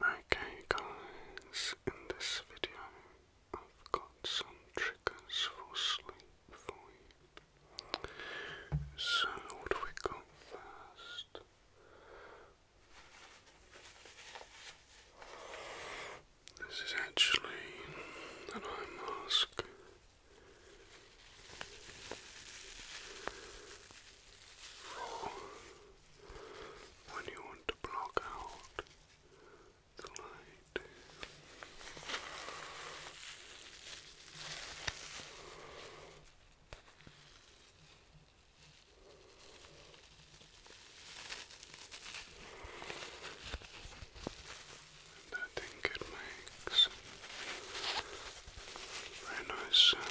Okay guys, in this video I've got some triggers for sleep for you. So what do we got first? This is actually an eye mask when you want to block out the light. And I think it makes a nice sound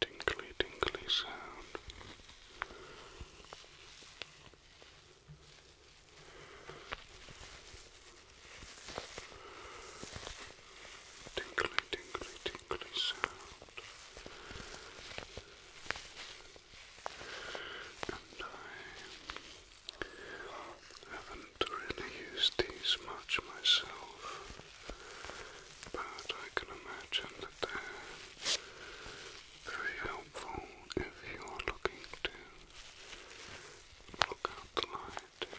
tinkly, tinkly sound. Tinkly, tinkly, tinkly sound. And I haven't really used these much myself but I can imagine that they're very helpful if you're looking to block out the light.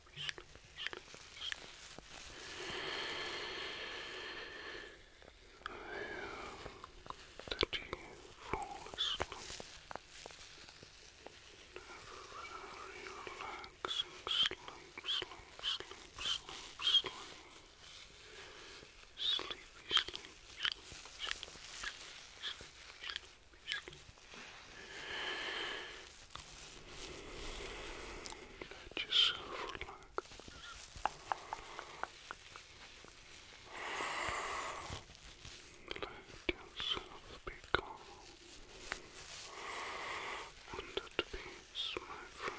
sleepy, sleepy, sleepy. I hope that you fall asleep. Have a very relaxing sleep, sleep, sleep, sleep, sleep. Sleepy, sleepy, sleepy, sleepy, sleepy, sleepy, sleepy basically. That is so Let yourself be calm and at peace, my friend.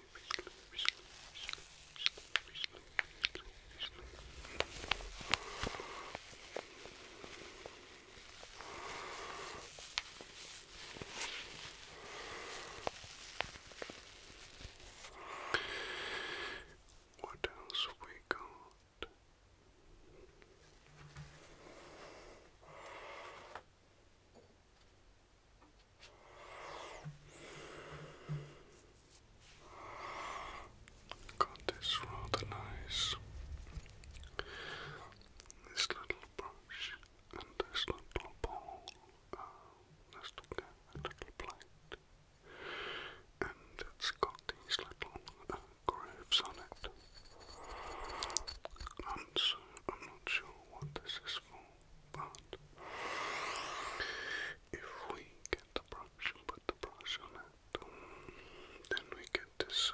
What else have we got? God, it's rather nice. This little brush and this little ball. Uh, let's look at a little plate. And it's got these little uh, on it. I'm not sure what this is for, but if we get the brush and put the brush on it, then we get this sound.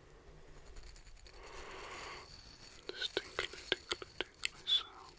This tinkly, tinkly, tinkly sound.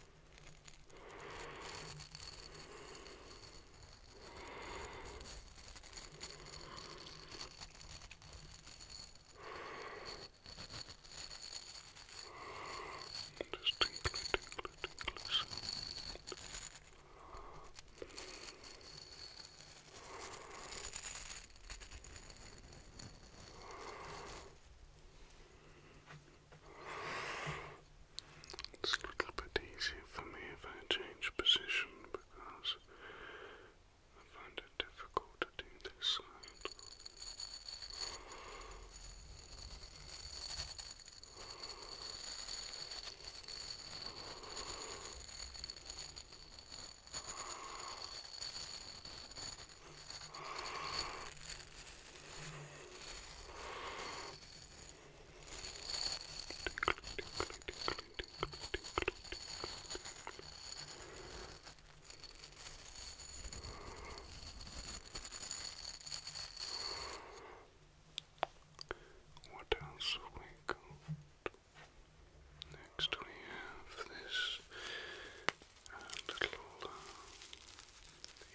Just tinkly, tinkly, tinkly sound. Just it's a little bit easier for me if I change position because I find it difficult to do this what else have we got? Next we have this a little uh,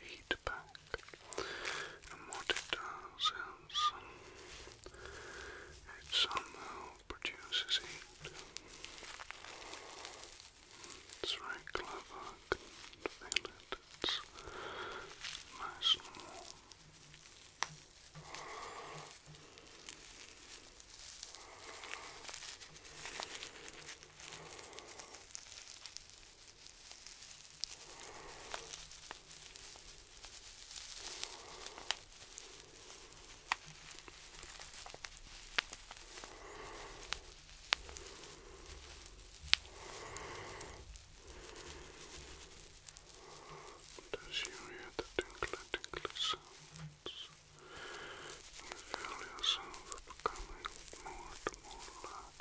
heat pack, and what it does is um, it somehow produces heat. It's very clever, I can it's nice and warm. Does you hear the tinkle tinkle sounds? You feel yourself becoming more and more relaxed.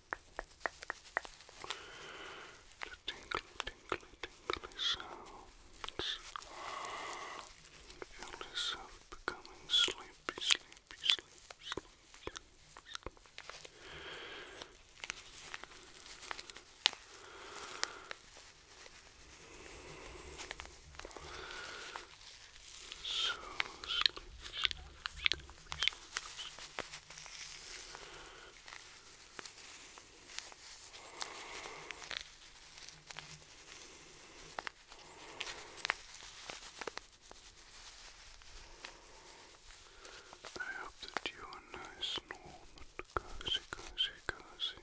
The tingly, tingly, tingly sounds. Feel yourself becoming sleepy, sleepy, sleepy, sleepy, sleepy. So sleepy, sleepy, sleepy, sleepy, sleepy. I hope that you are nice, warm cozy, cozy, cozy.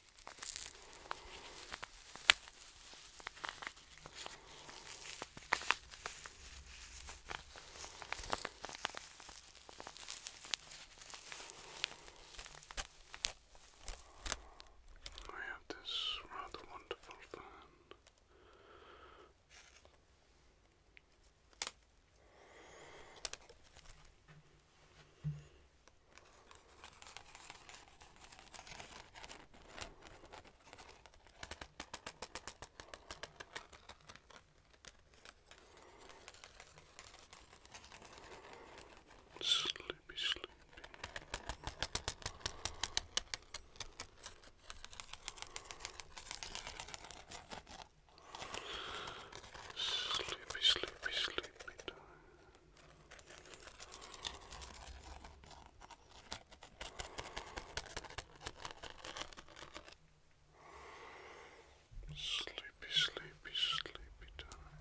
I have this rather wonderful fan. Sleepy, sleepy. Sleepy, sleepy, sleepy time. Sleepy, sleepy, sleepy time.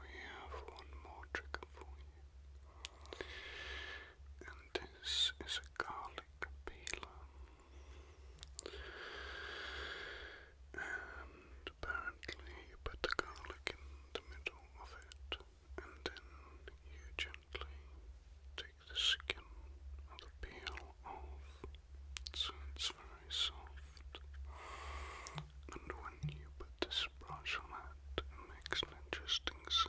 we have one more trigger for you, and this is a garlic peeler. And apparently, you put the garlic in the middle of it, and then you gently take the skin of the peel off, so it's very soft. And when you put the this on it makes an interesting sound.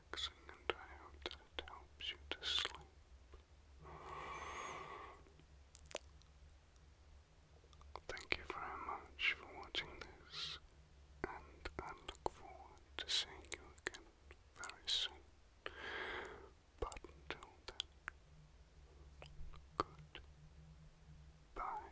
and I hope that it helps you to sleep. Thank you very much for watching this, and I look forward to seeing you again very soon. But until then, goodbye.